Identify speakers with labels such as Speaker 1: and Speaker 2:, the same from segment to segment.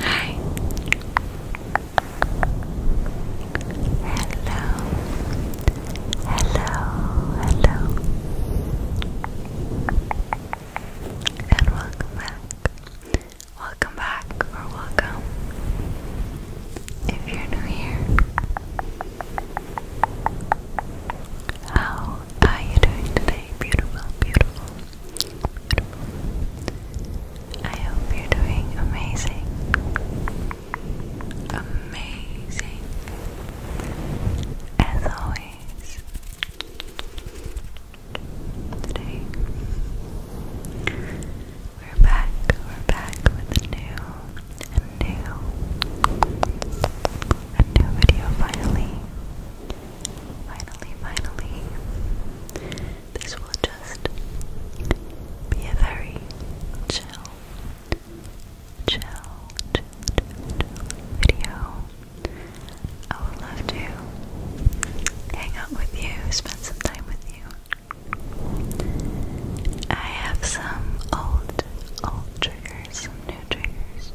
Speaker 1: Hi. Hello. Hello. Hello. And welcome back. Welcome back or welcome if you're new here. How are you doing today? Beautiful, beautiful, beautiful. I hope you're doing amazing. Amazing. As always. Today we're back, we're back with a new, a new, a new video finally. Finally, finally. This will just be a very chill, chill, video. I would love to hang out with you, spend some time with you. I have some old, old triggers, some new triggers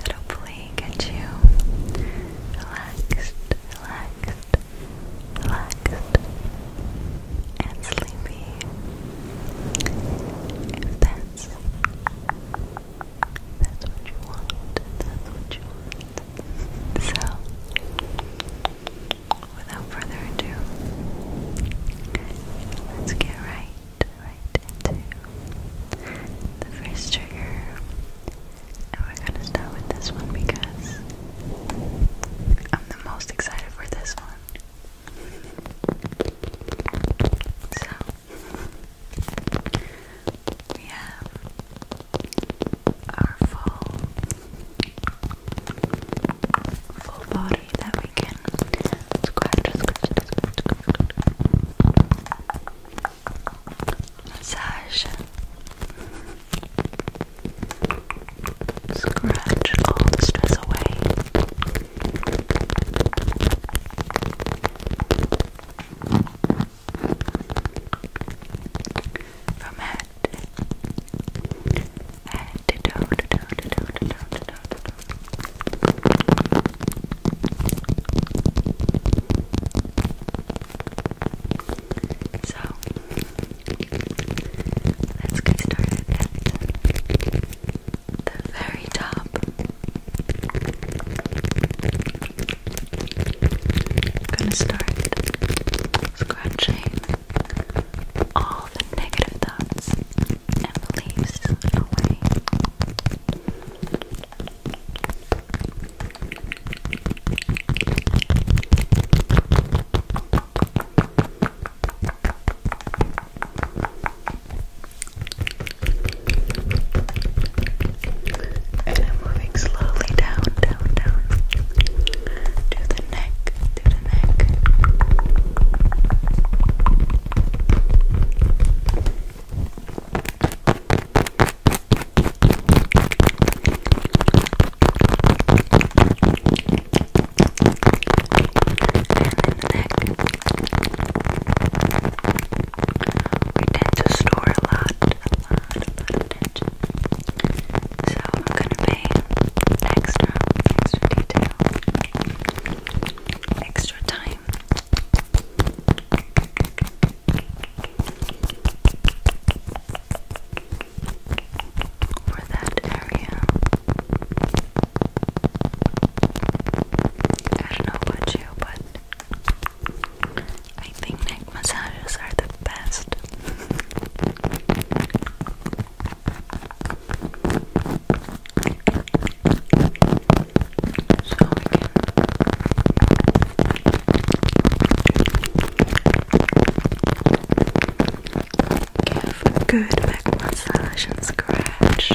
Speaker 1: that hopefully get you relaxed, relaxed, relaxed, and sleepy. If that's that's what you want. That's what you want. So, without further ado, let's get right, right into the first trigger. And we're gonna start with this one because I'm the most excited for this one. So, we have our full full body that we can scratch, massage, scratch all stress away. From head, head to toe, to toe, to toe, to toe, to toe, So let's get started at the very top. I'm gonna start scratching all the negative thoughts and beliefs away. I'm moving slowly down, down, down to the neck, to the neck. neck we tend to store a lot, a lot, So I'm gonna pay extra, extra detail, extra time. For that area, I don't know about you, but I think neck massages are the best. So good back massage and scratch.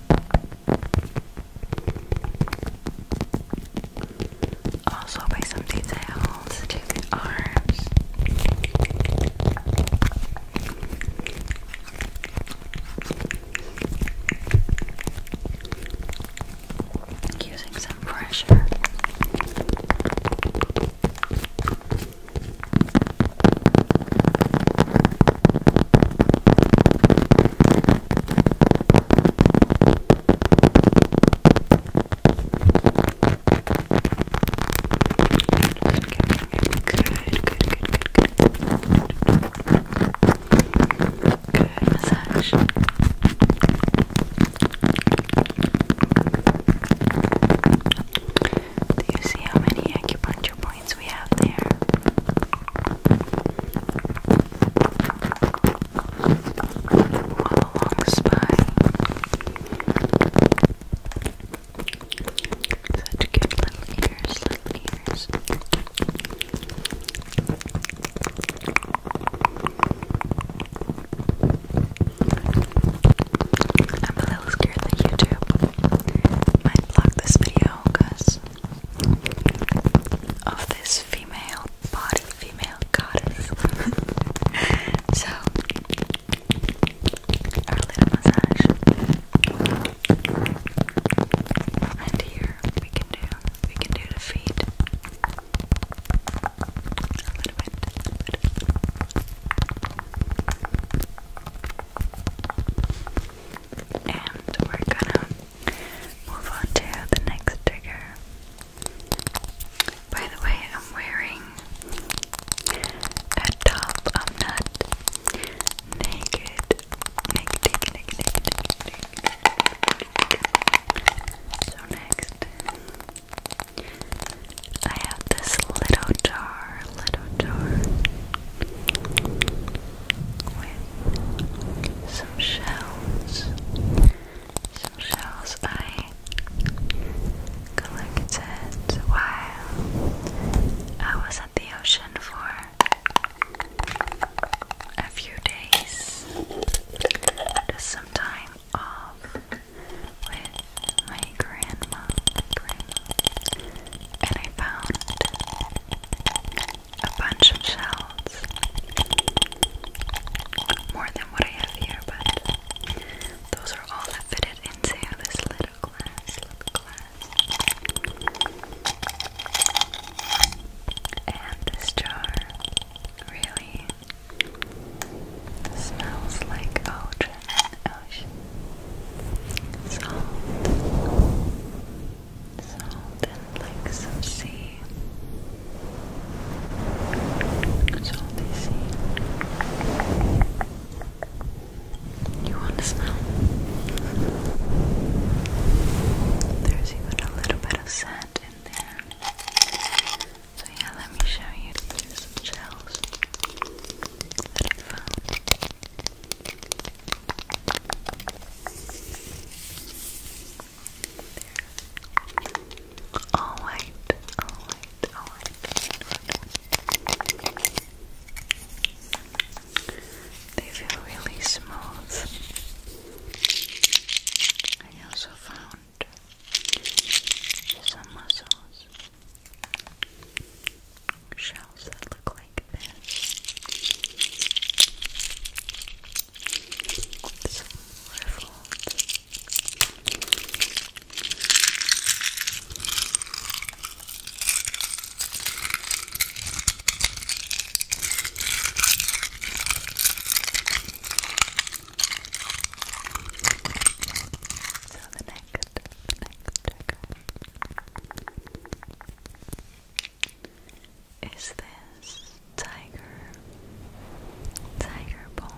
Speaker 1: Also by some details to the arms. Using some pressure. Good massage. Do you see how many acupuncture points we have there. All spine. Such good ears, little ears. I'm a little scared that YouTube might block this video of this female body, female goddess. so, our little massage, and here we can do we can do the feet A little bit. And we're gonna move on to the next trigger. By the way, I'm wearing a top. I'm not naked. Naked, naked, naked, So next, I have this little jar our little jar with some shells. Some shells I collected while I was at the ocean for a few days. Just some time off my grandma, and I found a bunch of shells. More than what I have here, but those are all that fitted this little glass, And this jar really smells like OJ ocean. Salt. Salt and like some sea. Salty sea. You want to smell? There's even a little bit of sand in there. So yeah, let me show you shells, shells All white, all white, all white. They feel really smooth. I also found some muscles shells that look like this. It's riffled. So the next is this tiger tiger bone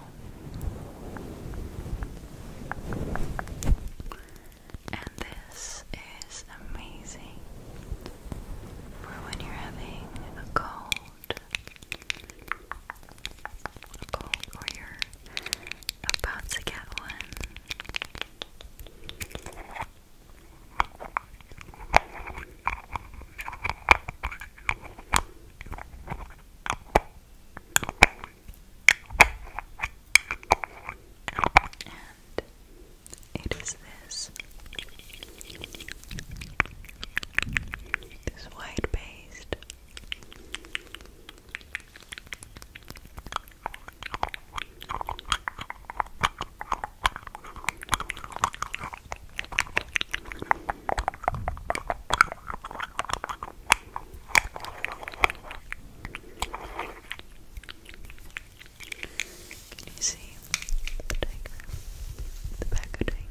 Speaker 1: and this is amazing for when you're having a cold or you're about to get one. And it is this this white paste can you see the diagram? The packaging.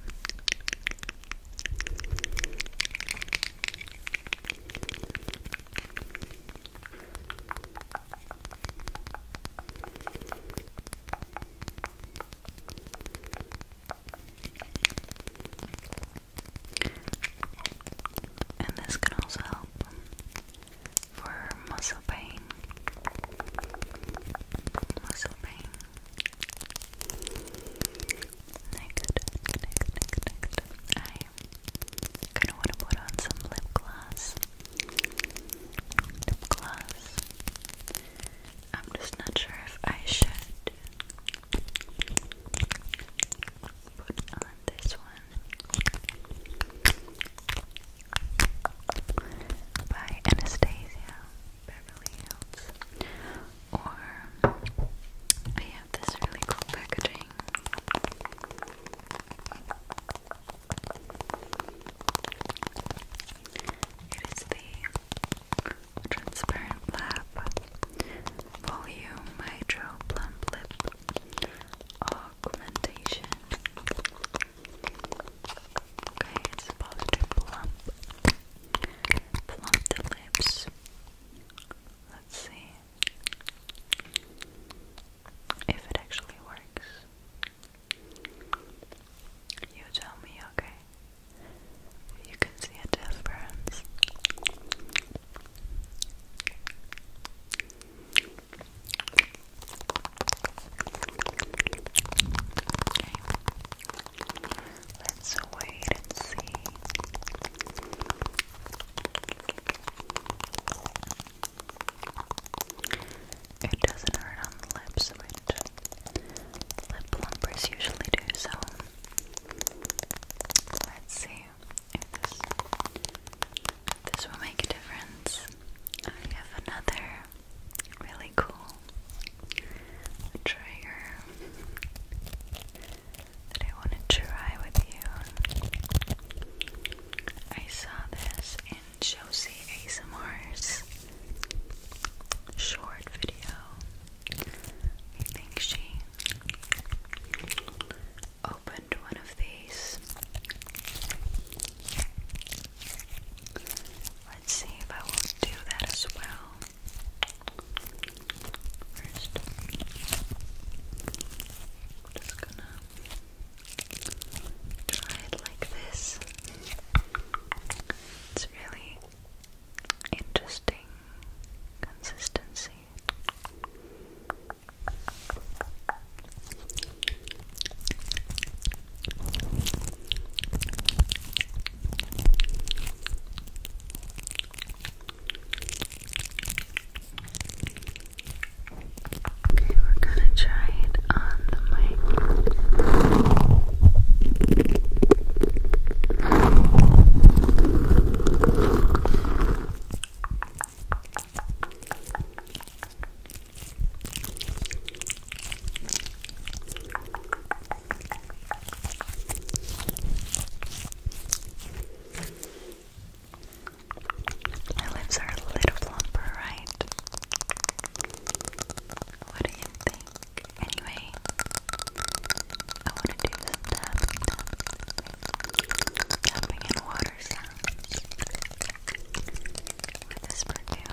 Speaker 1: And this can also help for muscle pain. Muscle pain. Next, next, next, next. I kind of want to put on some lip gloss. Lip gloss. I'm just not sure if I should put on this one by Anastasia Beverly Hills or I have this really cool packaging. It is the Transparent Lab Volume Hydro Lip Augmentation. Okay, it's supposed plump the lips. Let's see if it actually works. You tell me, okay? You can see a difference. Let's wait and see. It doesn't hurt on the lips, which lip plumpers usually do, so let's see if this, will make a difference. I have another really cool a that I want to try with you. I saw this in Josie ASMR's short video. I think she opened one of these. Let's see if I will do that as well. 1st just gonna try it like this. It's really interesting consistency. Okay, we're gonna try it on the mic. Okay, my lips are a little plumper, right? What do you think? Anyway, I want to do some tapping, tapping, water sounds with this perfume.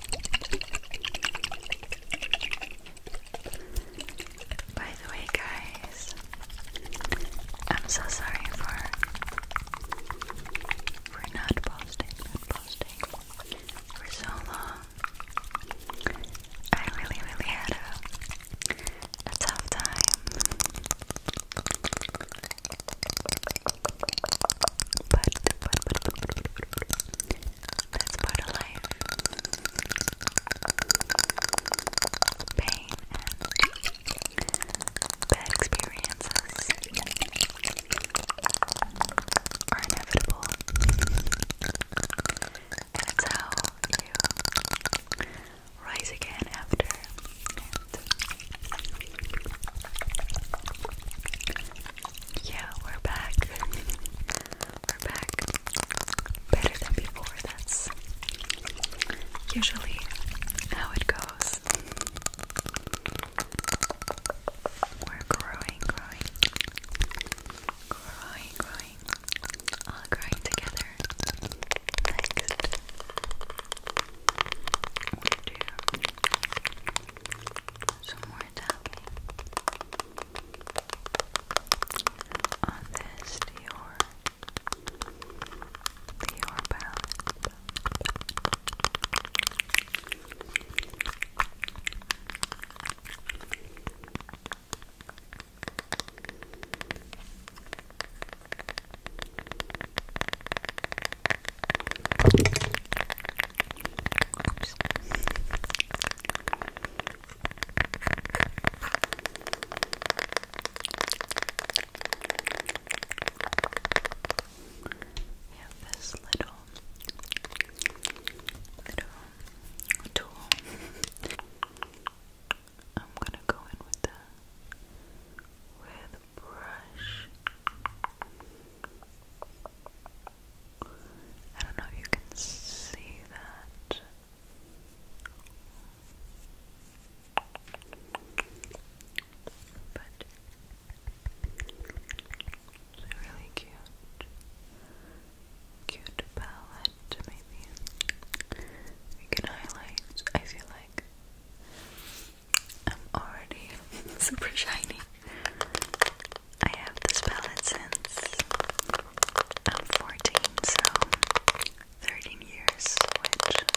Speaker 1: By the way, guys, I'm so sorry for for not posting, posting for so long. I really, really had a a tough time but, Pain and bad experiences are inevitable. And it's you rise again after. Yeah, we're back. we're back. Better than before. That's usually how it goes. We're growing, growing, growing, growing, all growing together. Next, some more tapping on this Dior Dior palette. Just Oops. We have this little little tool. I'm gonna go in with the with the brush. I don't know if you can see that. But it's a really cute, cute palette. Maybe we can highlight. I feel like I'm already super shiny. I have this palette since I'm 14, so 13 years, which is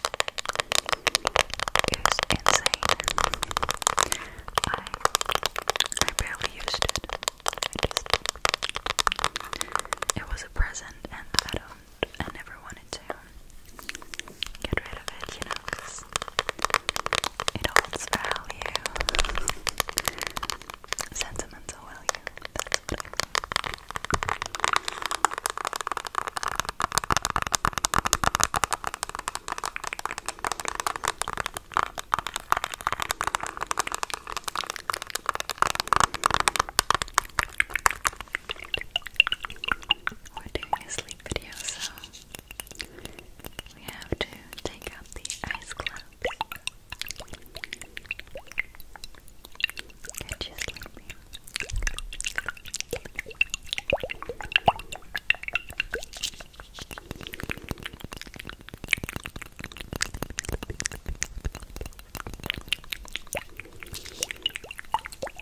Speaker 1: insane. I I barely used it. it was a present and I don't I never wanted to get rid of it, you know, it holds value. Sentimental value, that's what we're doing a sleep video, so we have to take out the ice clubs. Get you sleepy.